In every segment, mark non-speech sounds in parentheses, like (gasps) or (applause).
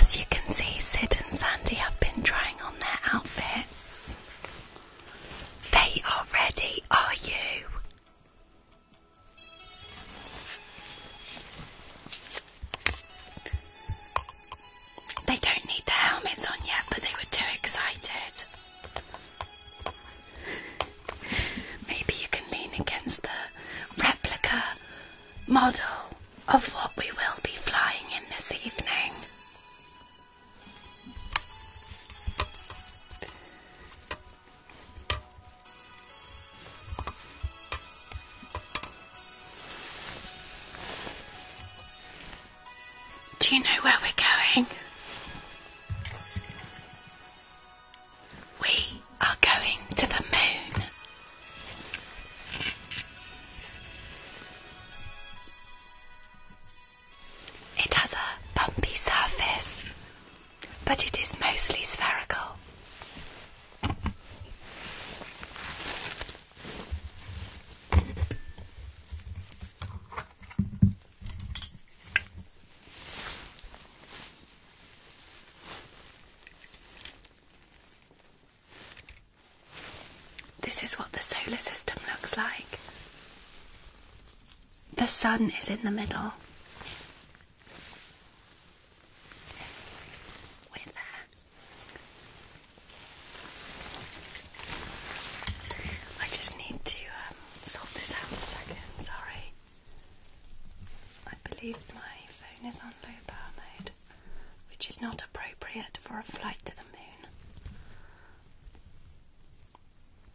As you can see, Sid and Sandy have been trying on their outfits. They are ready, are you? They don't need their helmets on yet, but they were too excited. Maybe you can lean against the replica model of what we will be flying in this evening. Do you know where we're going? We are going to the moon. It has a bumpy surface, but it is mostly spherical. This is what the solar system looks like the sun is in the middle. We're there. I just need to um, sort this out a second, sorry. I believe my phone is on low power mode, which is not appropriate for a flight to the moon.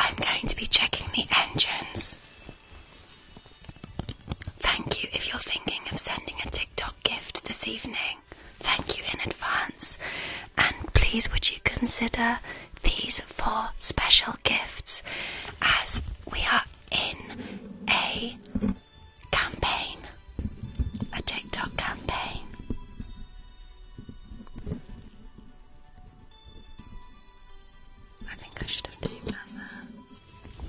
I'm going to be checking the engines. Thank you if you're thinking of sending a TikTok gift this evening. Thank you in advance. And please, would you consider these four special gifts as we are in a campaign, a TikTok campaign? I think I should have taken that there.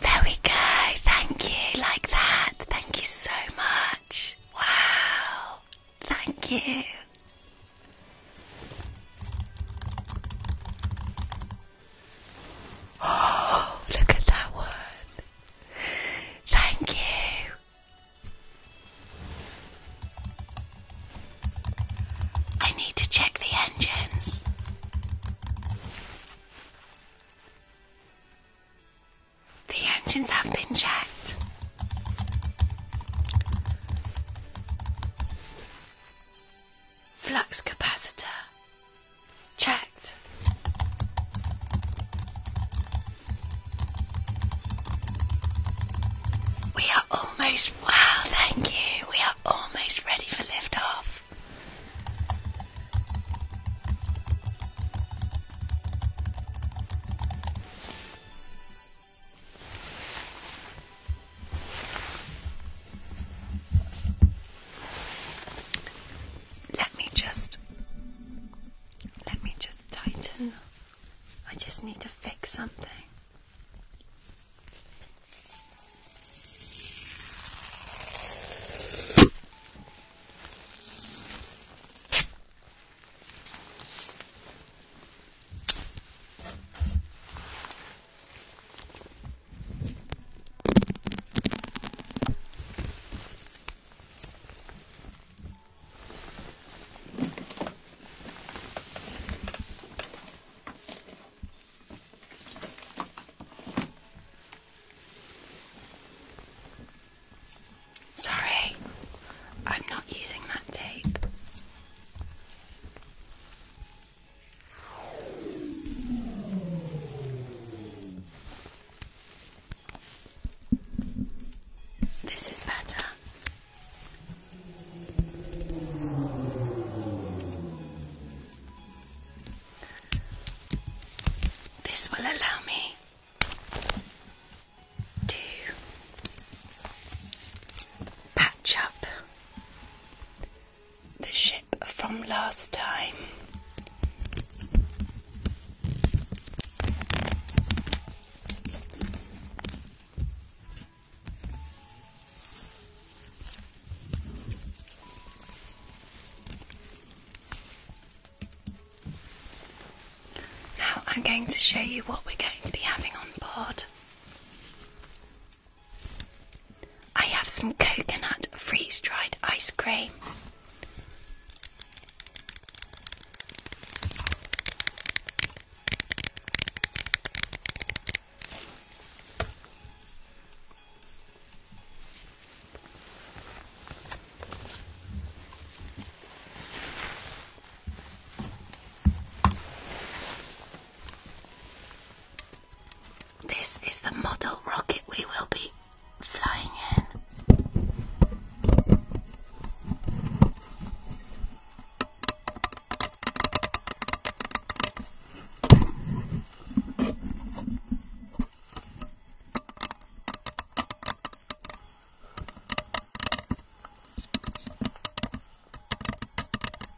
There we go. Thank you. Like that. Thank you so much. Wow. Thank you. Oh, (gasps) look at that one. Thank you. I need to check the engines. The engines have been checked. Flux capacitor. Checked. We are almost, wow, thank you. We are almost ready for liftoff. Let me just let me just tighten. I just need to fix something. Sorry, I'm not using that tape. This is better. This will allow me to patch up the ship from last time. Now I'm going to show you what we're going to be having on board. I have some coconut freeze dried ice cream. This is the model rocket we will be flying in.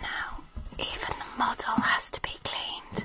Now, even the model has to be cleaned.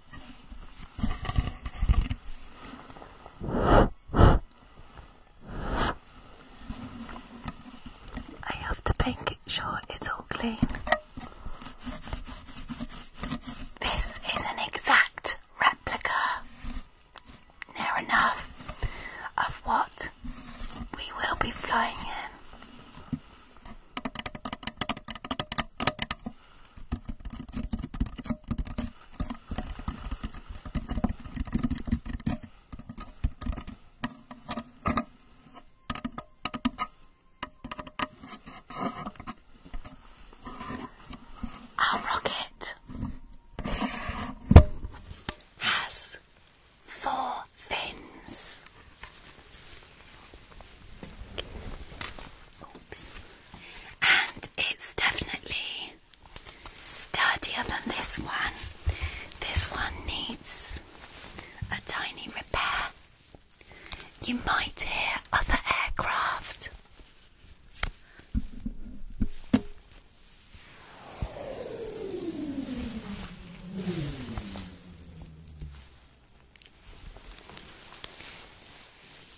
I have to make sure it's all clean. This is an exact replica, near enough, of what we will be flying in. Our rocket has four fins. And it's definitely sturdier than this one. This one needs a tiny repair. You might hear other aircraft.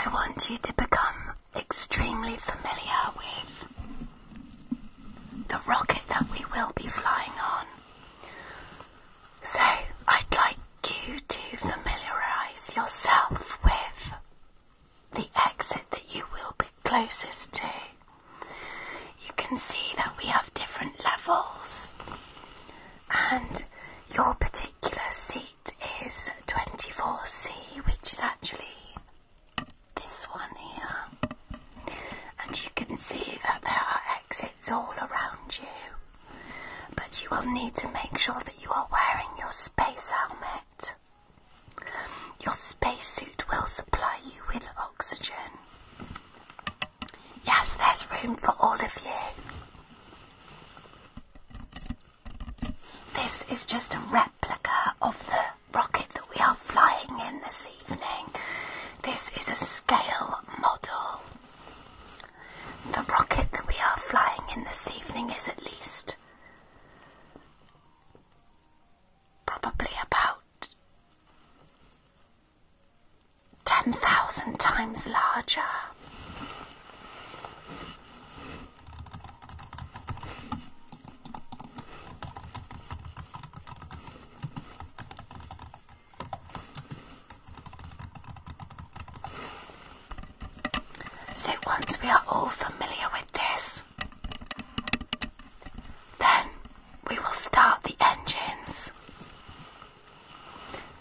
I want you to become extremely familiar with the rocket that we will be flying on. So, I'd like you to familiarise yourself with the exit that you will be closest to. You can see that we have different levels, and your particular seat is 24C, which is actually this one here. And you can see that there are exits all around you, but you will need to make sure that you are wearing your space helmet. Your spacesuit will supply you with oxygen. Yes, there's room for all of you. This is just a replica of the rocket that we are flying in this evening. This is a scale model. The rocket that we are flying in this evening is at least probably about 10,000 times larger. So once we are all familiar with this, then we will start the engines.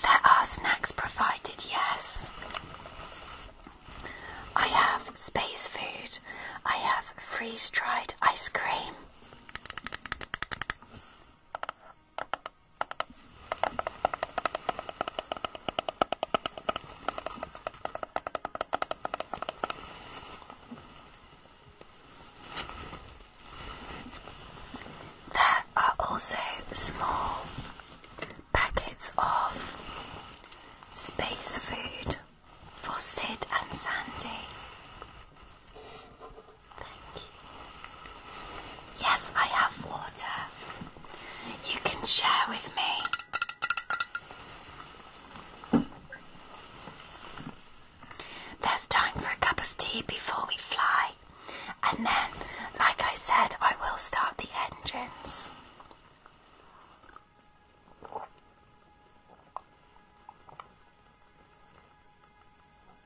There are snacks provided, yes. I have space food. I have freeze dried ice cream. There are also small packets of space food for Sid and Sandy. Thank you. Yes, I have water. You can share with me. There's time for a cup of tea before we fly. And then, like I said, I will start the engines.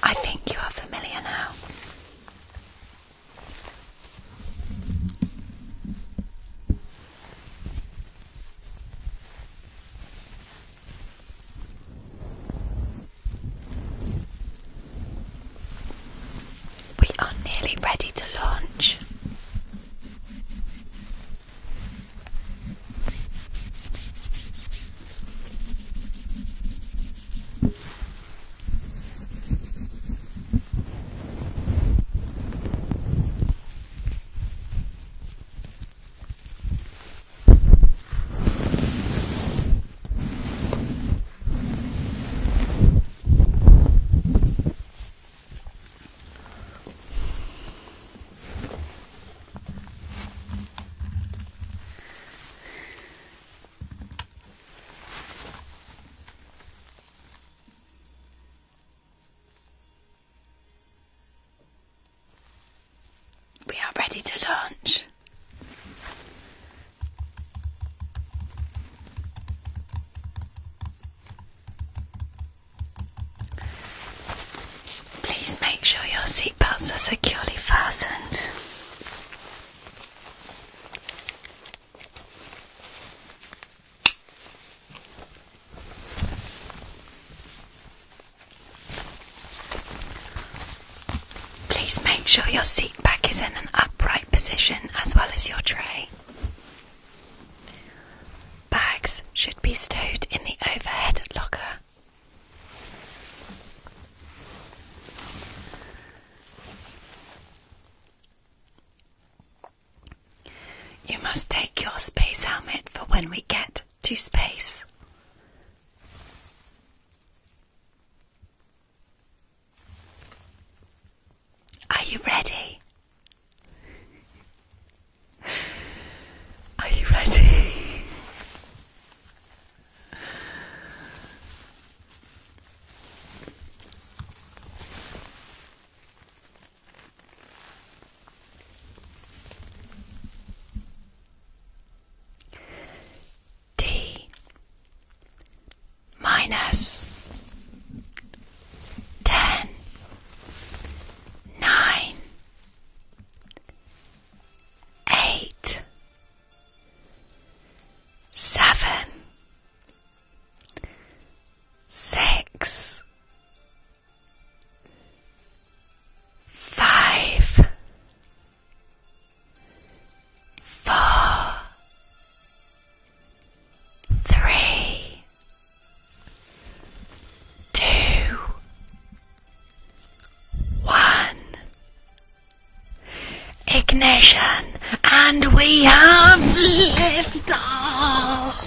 I think you are familiar now. We are nearly ready to launch. We are ready to launch. Please make sure your seatbelts are securely fastened. Please make sure your seat back is in an upright position as well as your tray. Bags should be stowed in the overhead locker. You must take your space helmet for when we get to space. Are you ready? Are you ready? D minus ten nine eight seven six Five, four, three, two, one. Ignition, and we have liftoff.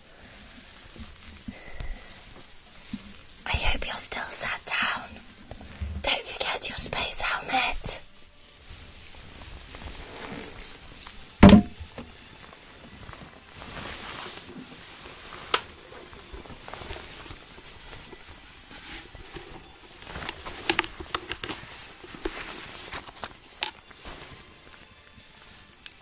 I hope you're still sat down. Don't forget your space helmet.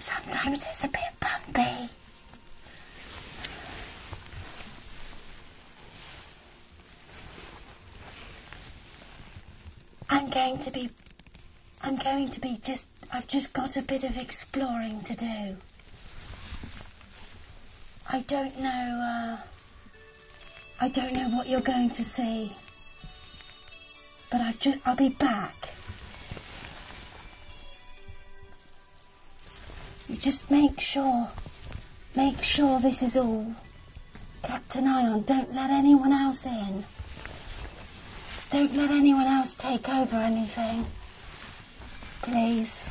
Sometimes it's a bit bumpy. I'm going to be. I'm going to be just. I've just got a bit of exploring to do. I don't know, uh, I don't know what you're going to see, but i will be back. You just make sure, make sure this is all Captain Ion, Don't let anyone else in. Don't let anyone else take over anything place.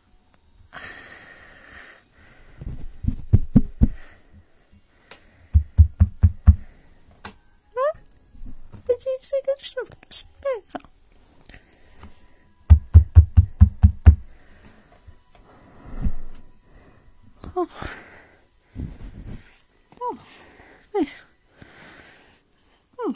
Did you see good stuff? Oh. Oh. Nice. Oh.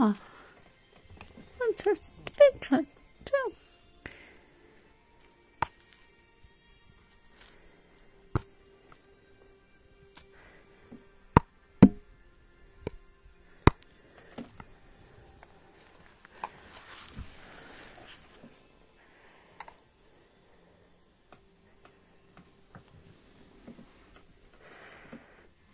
Ah, that's her bedtime too.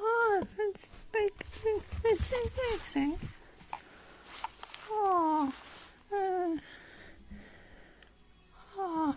Oh, that's like, that's amazing. Oh, uh, oh.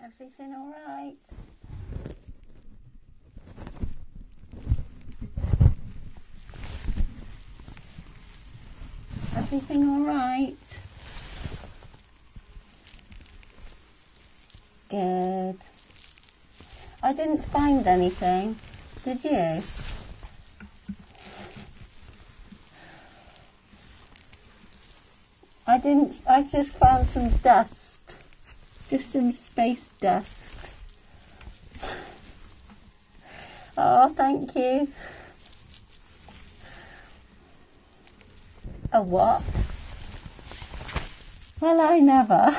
Everything all right? Everything all right? Good. I didn't find anything, did you? I didn't, I just found some dust, just some space dust. Oh, thank you. A what? Well, I never. I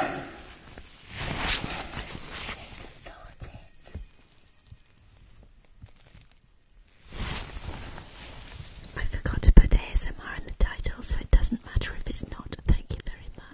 forgot to put ASMR in the title, so it doesn't matter if it's not. Thank you very much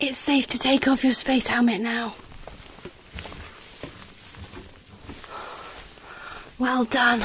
It's safe to take off your space helmet now. Well done.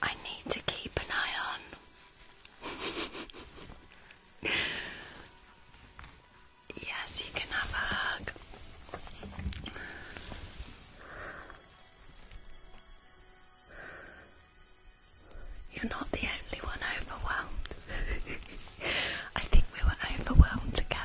I need to keep an eye on. yes, you can have a hug. You're not the only one overwhelmed. (laughs) I think we were overwhelmed together.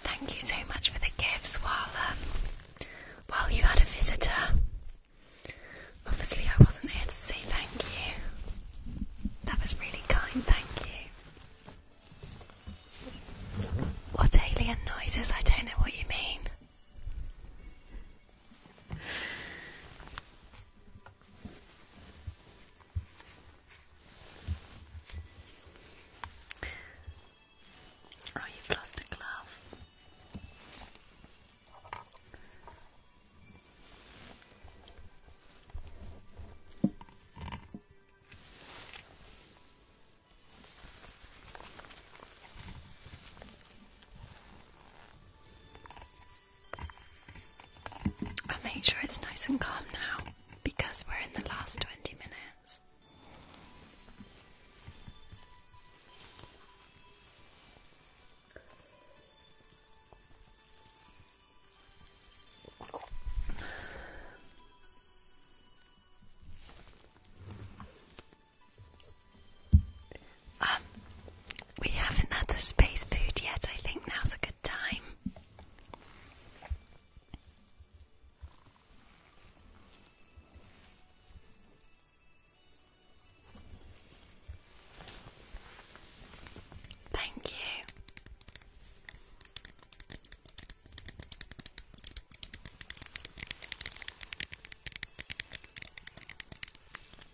Thank you so much for the gifts while while you had a visitor. Obviously, I wasn't here to say thank you. That was really kind, thank you. What alien noises? I don't know what you mean. Oh, you've lost a glove. I'll make sure it's nice and calm now because we're in the last 20 minutes. Um, we haven't had the space food yet. I think now's a good time. Thank you.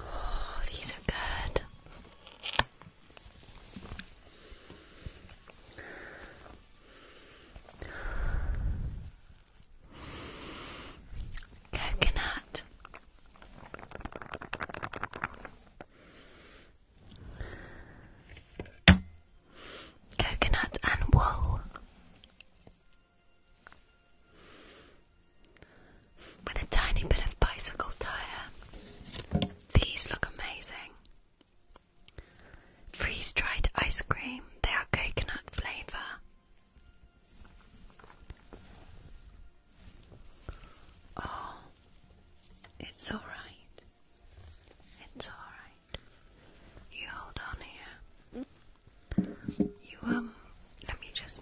Oh, these are good. Coconut. Coconut and wool. With a tiny bit of bicycle tire. These look amazing. Freeze dried ice cream, they are coconut flavour. Oh, it's all right. It's all right. You hold on here. You um, let me just.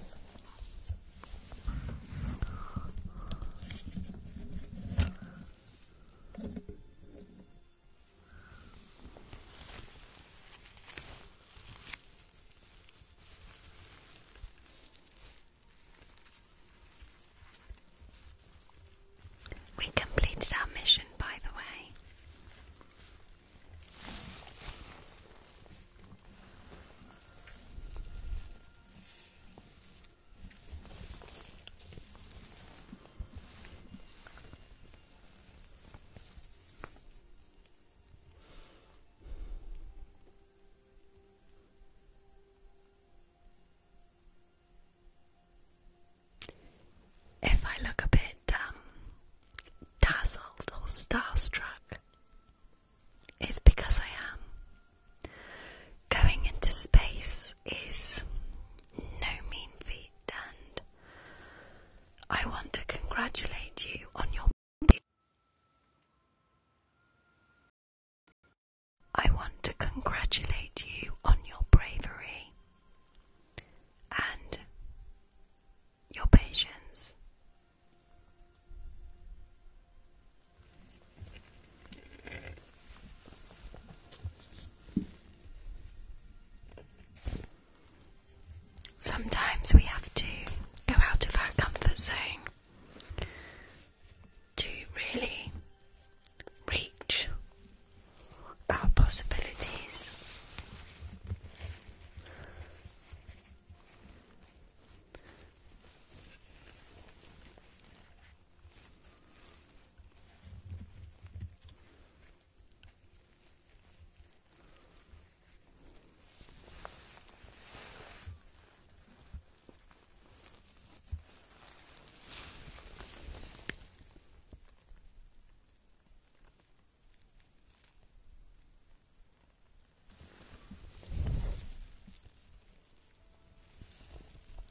We completed our mission, by the way. If I look a bit um, dazzled or starstruck, it's because I am. Going into space is no mean feat, and I want to congratulate you on your I want to congratulate you on your bravery and your patience. Sometimes we have to go out of our comfort zone to really reach our possibilities.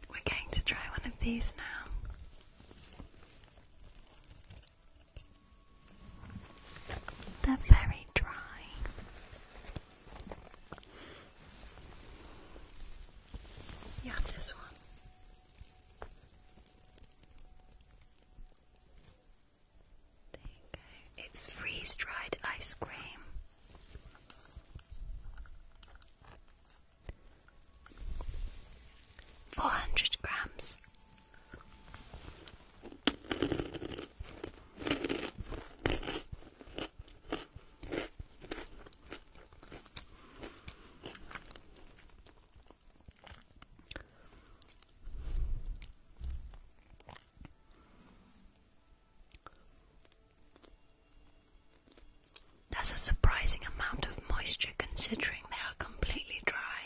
We're going to try one of these now. They're very dry. You have this one. There It's freeze dried ice cream. Four hundred grams that's a surprising amount of moisture considering they are completely dry.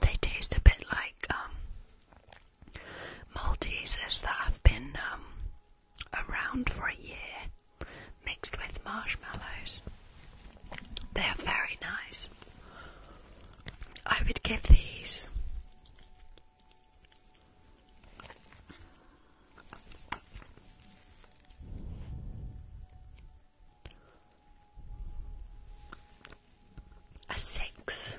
They taste a bit like um, Maltesers that have been um, around for a year, mixed with marshmallows. They are very nice. I would give these a six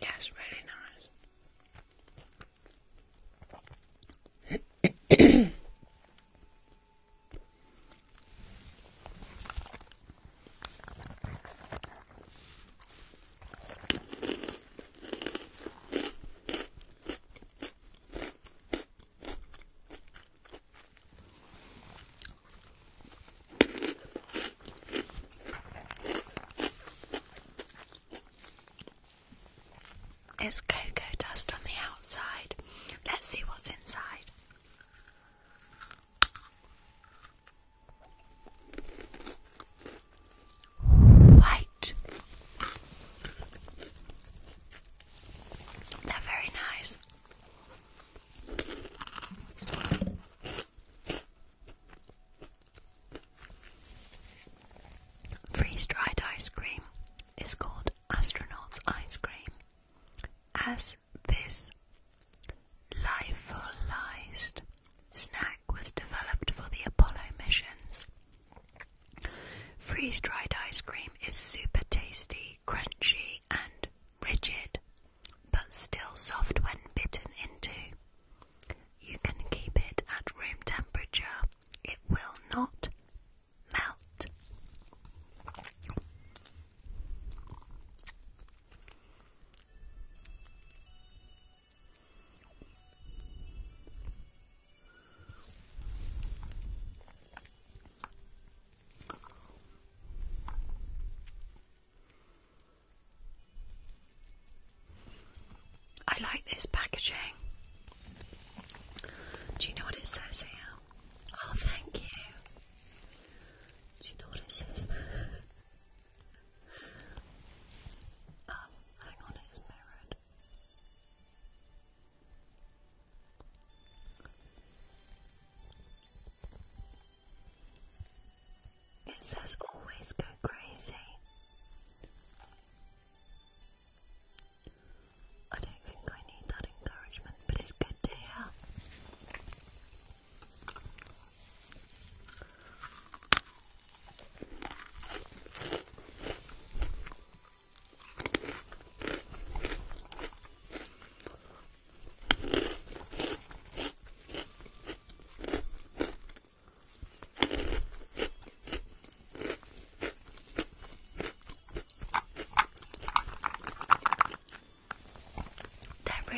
Yes, really nice. It's cocoa dust on the outside. Let's see what's inside. White. They're very nice. Freeze-dried ice cream is called astronaut's ice cream, as this lyophilized snack was developed for the Apollo missions. Freeze-dried ice cream is super tasty, crunchy, and rigid but still soft when bitten into. You can keep it at room temperature. It will not melt. I like this packaging. Do you know what it says here? Oh, thank you. Do you know what it says there? (laughs) Oh, hang on, it's mirrored. It says always go crazy. I don't think I need that encouragement, but it's good to hear. They're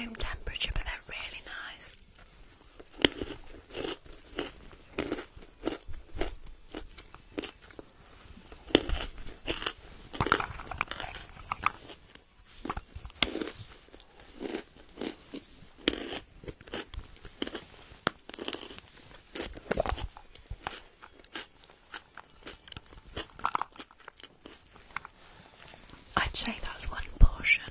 room temperature, but they're really nice. I'd say that's one portion.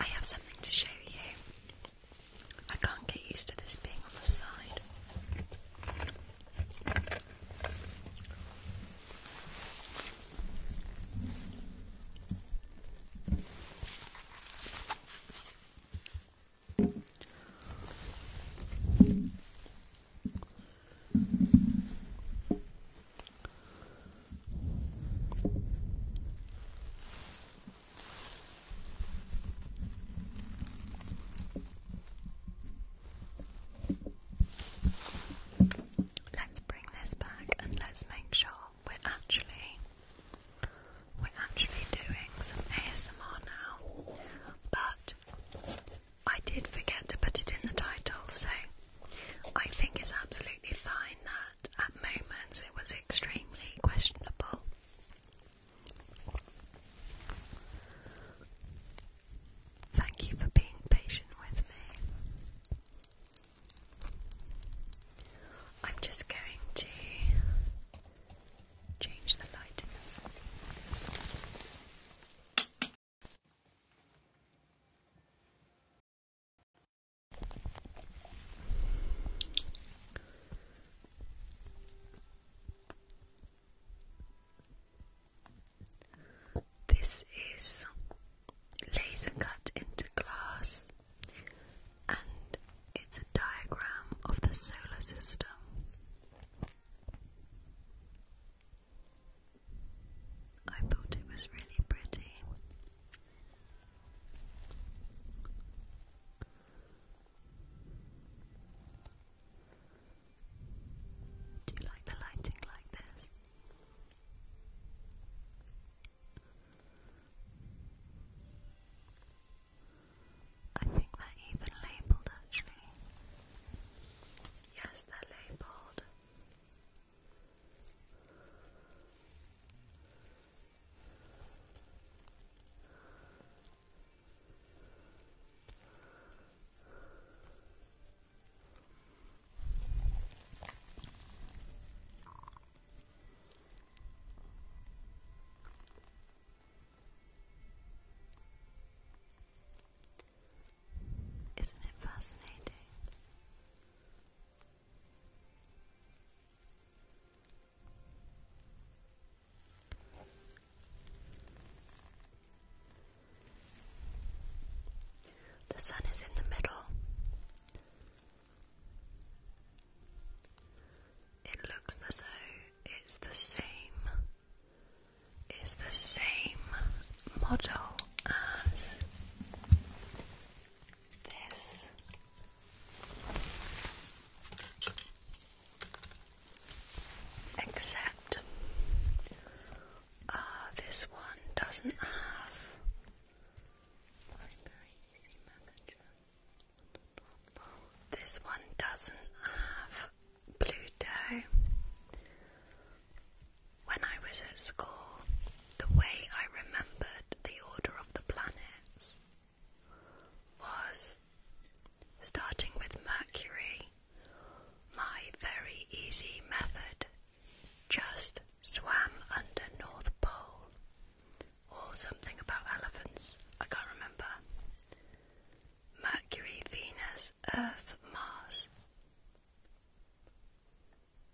I have something to show you. I can't get used to this being on the side. Let's bring this back and let's make sure we're actually we're actually doing some ASMR now. But I did forget to put it in the title, so I think it's absolutely fine that at moments it was extremely questionable. Thank you for being patient with me. I'm just going to change the light in this. This is laser cut into glass, and it's a diagram of the solar system. I thought it was really pretty. Do you like the lighting like this? I think they're even labelled actually. Yes, they're labelled. Isn't it fascinating? The sun is in the middle. It looks as though it's the same, it's the same model as this. Except uh, this one doesn't have very easy This one doesn't have Pluto. When I was at school, the way I remembered the order of the planets was starting with Mercury, my very easy method just swam under North Pole or something about elephants, I can't remember. Mercury, Venus, Earth, Mars,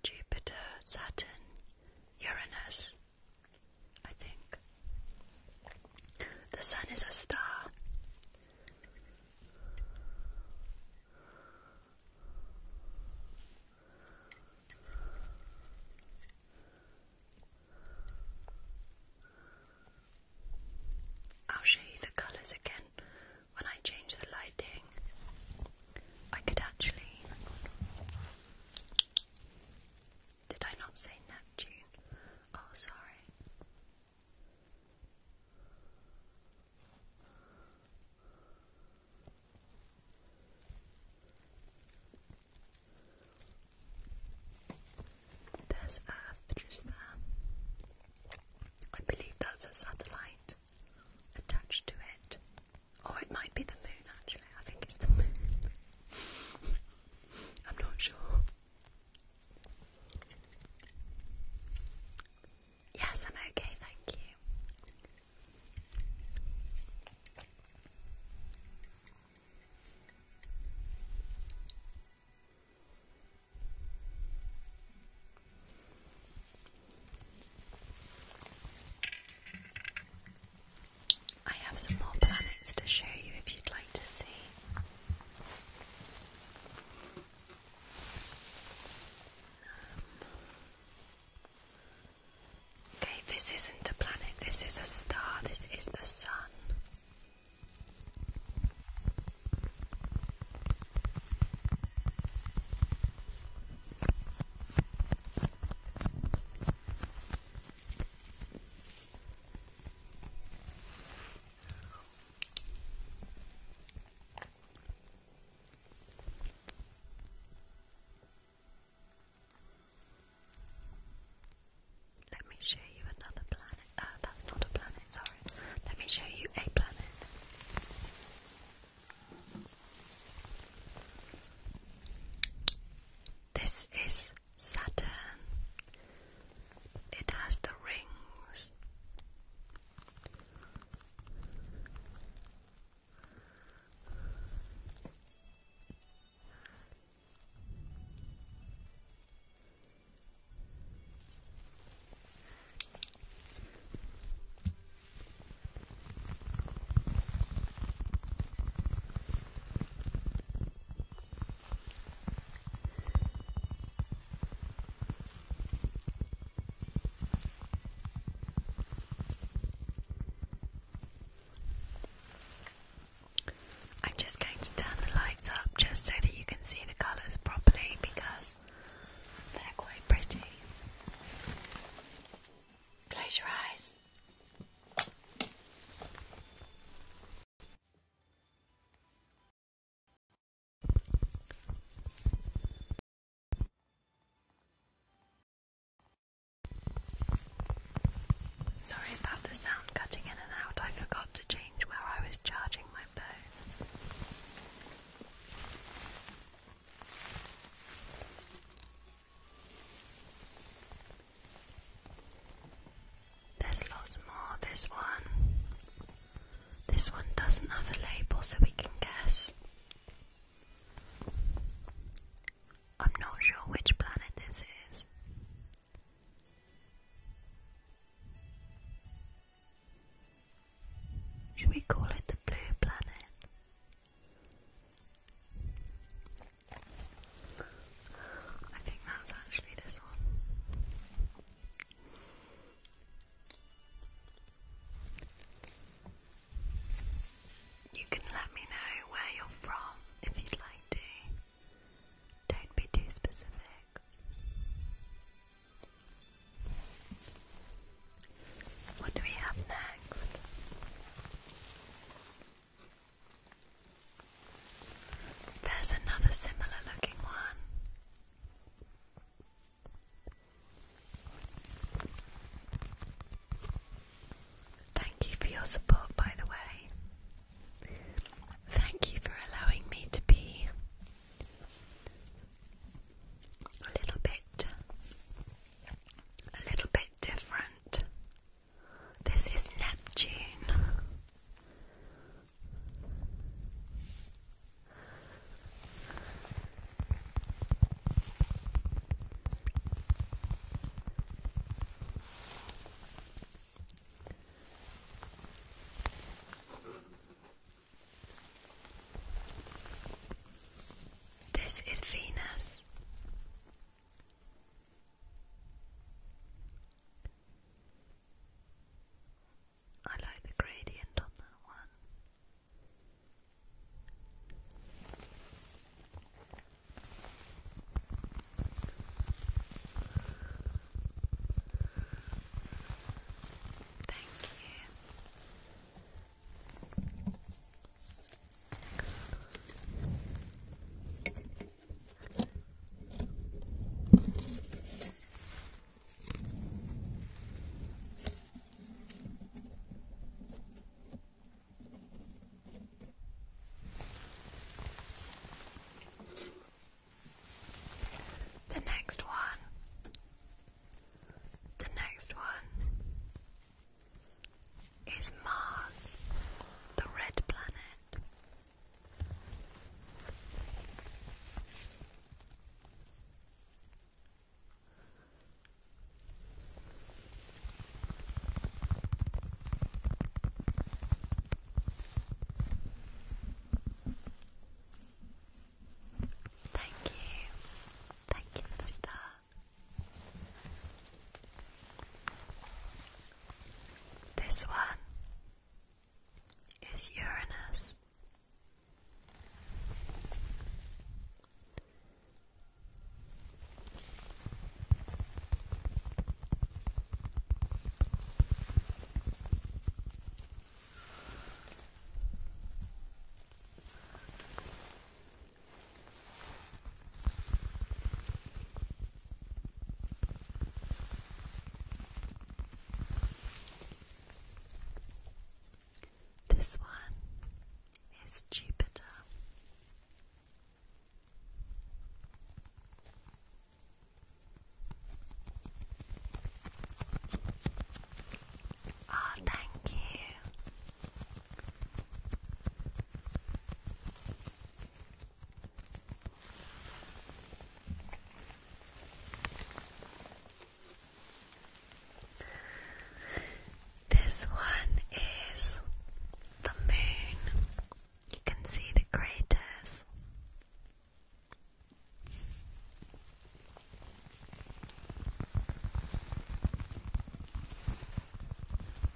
Jupiter, Saturn, Uranus, I think. The sun is a star. I'll show you the colours again when I change the lighting. I could actually did I not say Neptune? Oh, sorry. There's Earth just there. I believe that's a satellite attached to it. Or it might be the moon, actually. I think it's the moon. (laughs) I'm not sure. Yes, I'm okay, thank you. I have some more planets to show you if you'd like to see. Um, okay, this isn't a planet, this is a star, this is the sun. Let me show you another planet. Uh, that's not a planet, sorry. Let me show you a planet. This is Saturn. It has the rings. I'm just going to turn the lights up just so that you can see the colours properly because they're quite pretty. Close your eyes. Sorry about the sound cutting in and out. I forgot to change where I was charging my phone. There's lots more. This one. This one doesn't have a label, so we can guess. I'm not sure which planet this is. Should we call it the blue planet? I think that's actually this one. You can let me know where you're from if you'd like to. Don't be too specific. What do we have next? There's another similar looking one. Thank you for your support, by the way. Thank you for allowing me to be a little bit, a little bit different. This is Neptune. This is Venus. I like the gradient on that one. Thank you. The next one, the next one, is Mars the red planet? Thank you. Thank you for the this one is Uranus. This one is Jupiter. Oh, thank you. This one is the moon. You can see the craters.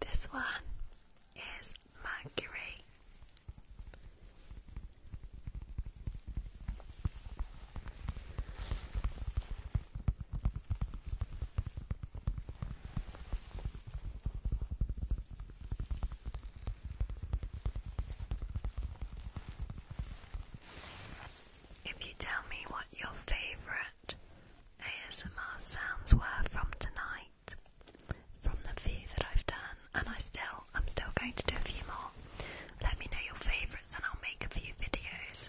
This one is Mercury. If you tell me what your favorite ASMR sounds were from tonight, from the few that I've done, and I still, I'm still going to do a few more. Let me know your favourites, and I'll make a few videos.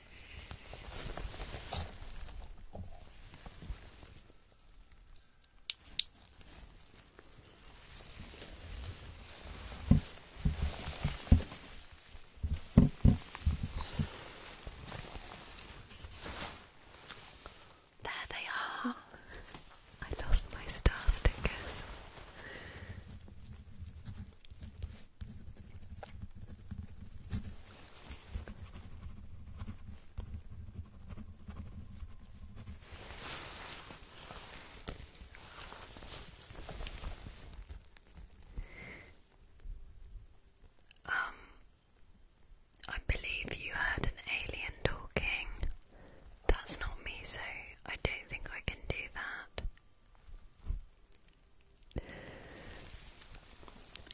There they are. I lost my star stickers. Um, I believe you heard an alien talking. That's not me, so I don't think I can do that.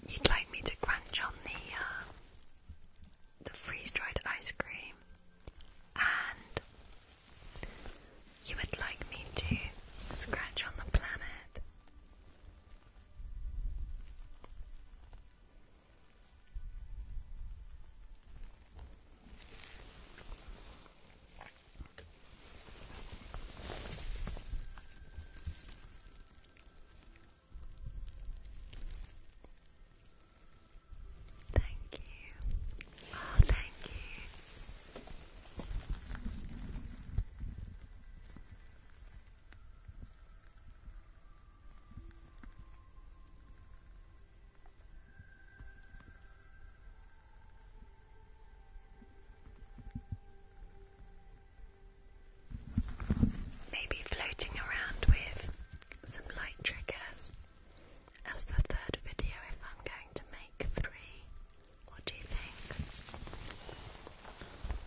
You'd like me to crunch on the uh, the freeze-dried ice cream, and you would like me to scratch on the planet. Thank you. Oh, thank you. Maybe floating around with some light triggers as the third video if I'm going to make three. What do you think?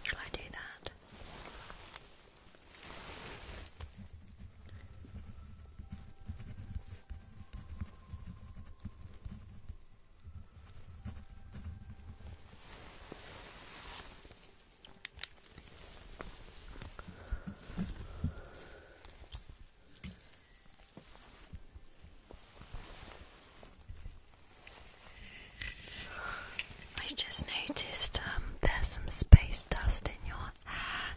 Shall I do that? I've just noticed um, there's some space dust in your hair.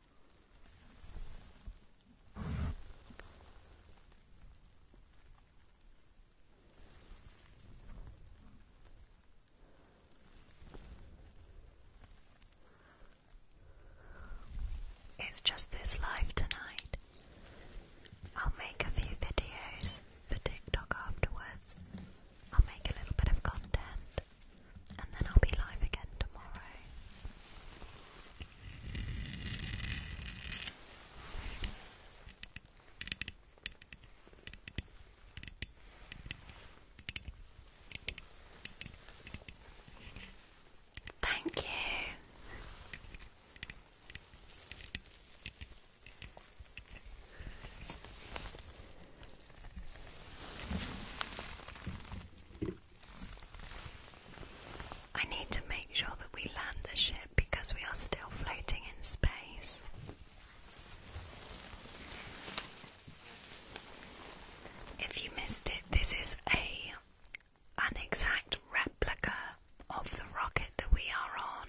It's just this live tonight. I'll make a few videos for TikTok afterwards. I'll make a little bit of content and then I'll be live again tomorrow. Thank you. I need to make sure that we land the ship because we are still floating in space. If you missed it, this is a an exact replica of the rocket that we are on.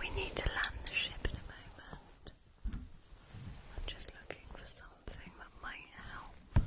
We need to land the ship in a moment. I'm just looking for something that might help.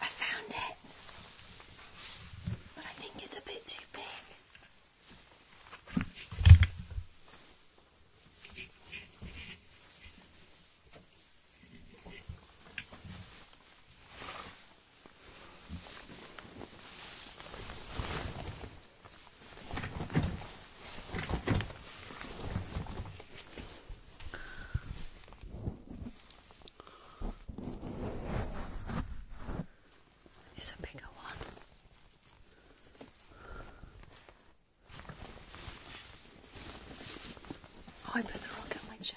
I found it, but I think it's a bit too big. It's a bigger one. Oh, I put the rock in my chair.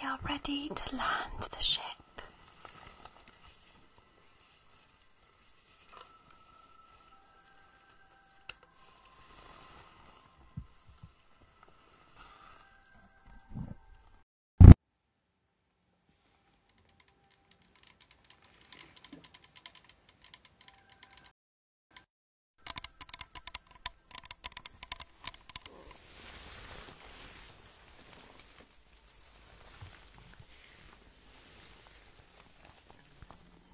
We are ready to land the ship.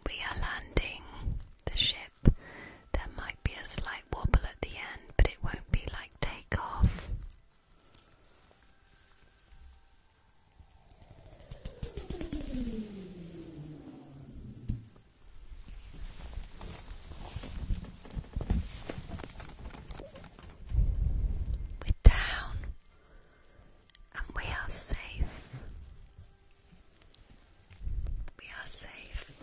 We are landing the ship. There might be a slight wobble at the end, but it won't be like takeoff. We're down and we are safe. We are safe.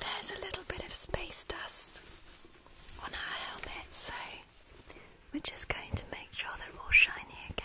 There's a little bit of space dust on our helmet, so we're just going to make sure they're all shiny again.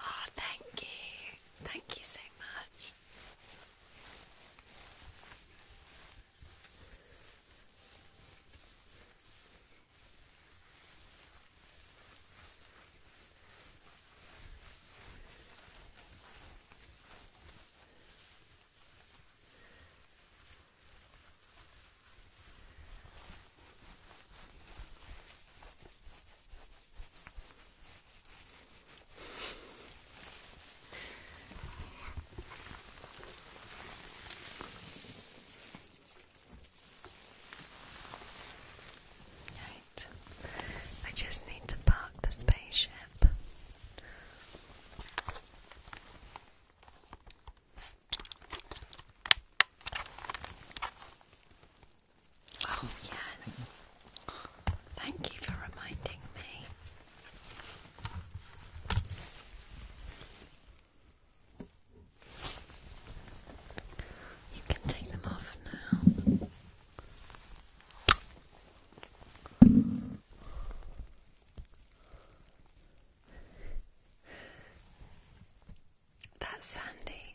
Oh, thank you. Thank you so much. Right. I just need to park the spaceship. Oh, yes. Thank you for reminding me. You can take them off now. That's Sandy.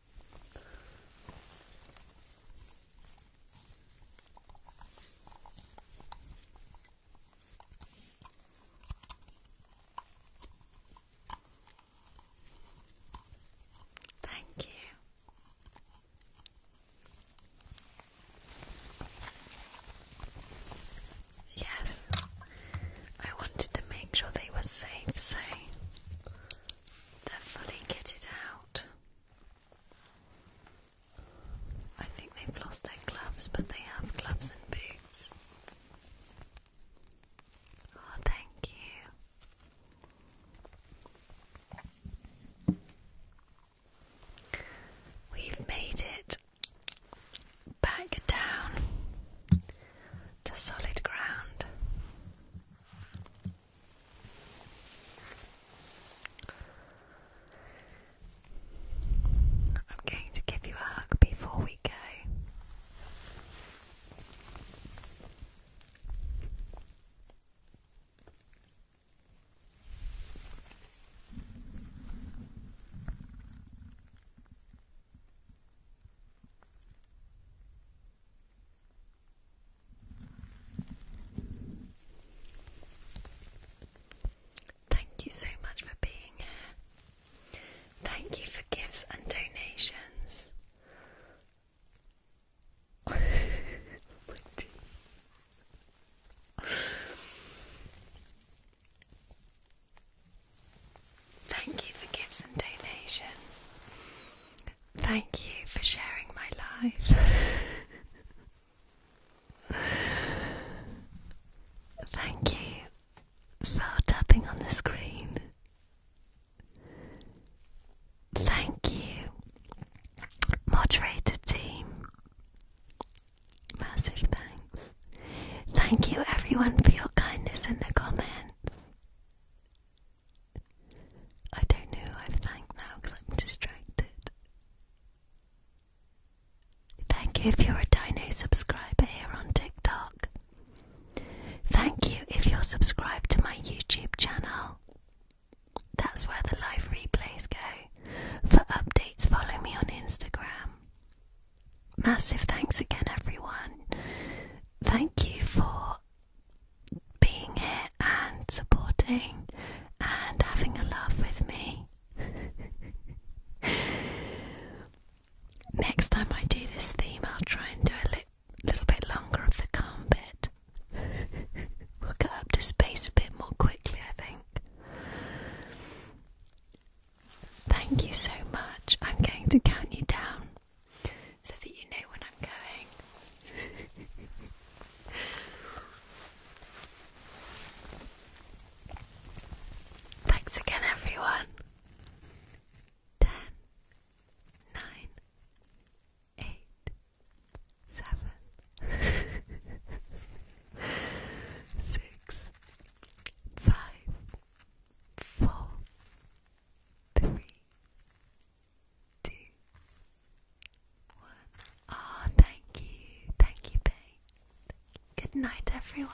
Thank you. Yes, I wanted to make sure they were safe, so they're fully kitted out. I think they've lost their gloves, but they have gloves and boots. Oh, thank you. We've made it back down to solid ground. I'm going to give you a hug before we go. Thank you so much for being here. Thank you for gifts and donations. (laughs) Oh, Thank you for gifts and donations. Thank you for sharing my life. Thank you for tapping on the screen. Thank you, moderator team. Massive thanks. Thank you, everyone, for your kindness in the comments. I don't know who I've thanked now because I'm distracted. Thank you if you're a Dino subscriber here on TikTok. Thank you if you're subscribed to my YouTube channel. That's where the live replays go. For updates, follow me on Instagram. Massive thanks again, everyone thank you for being here and supporting and having a laugh with me. (laughs) Next time I do this theme, I'll try and do a little bit longer of the calm bit. (laughs) we'll get up to space a bit more quickly, I think. Thank you so much. I'm going to count you down so that you know when I'm going. (laughs) Thanks again, everyone. Ten, nine, eight, seven, (laughs) six, five, four, three, two, one. Oh, thank you, thank you, babe. Good night, everyone.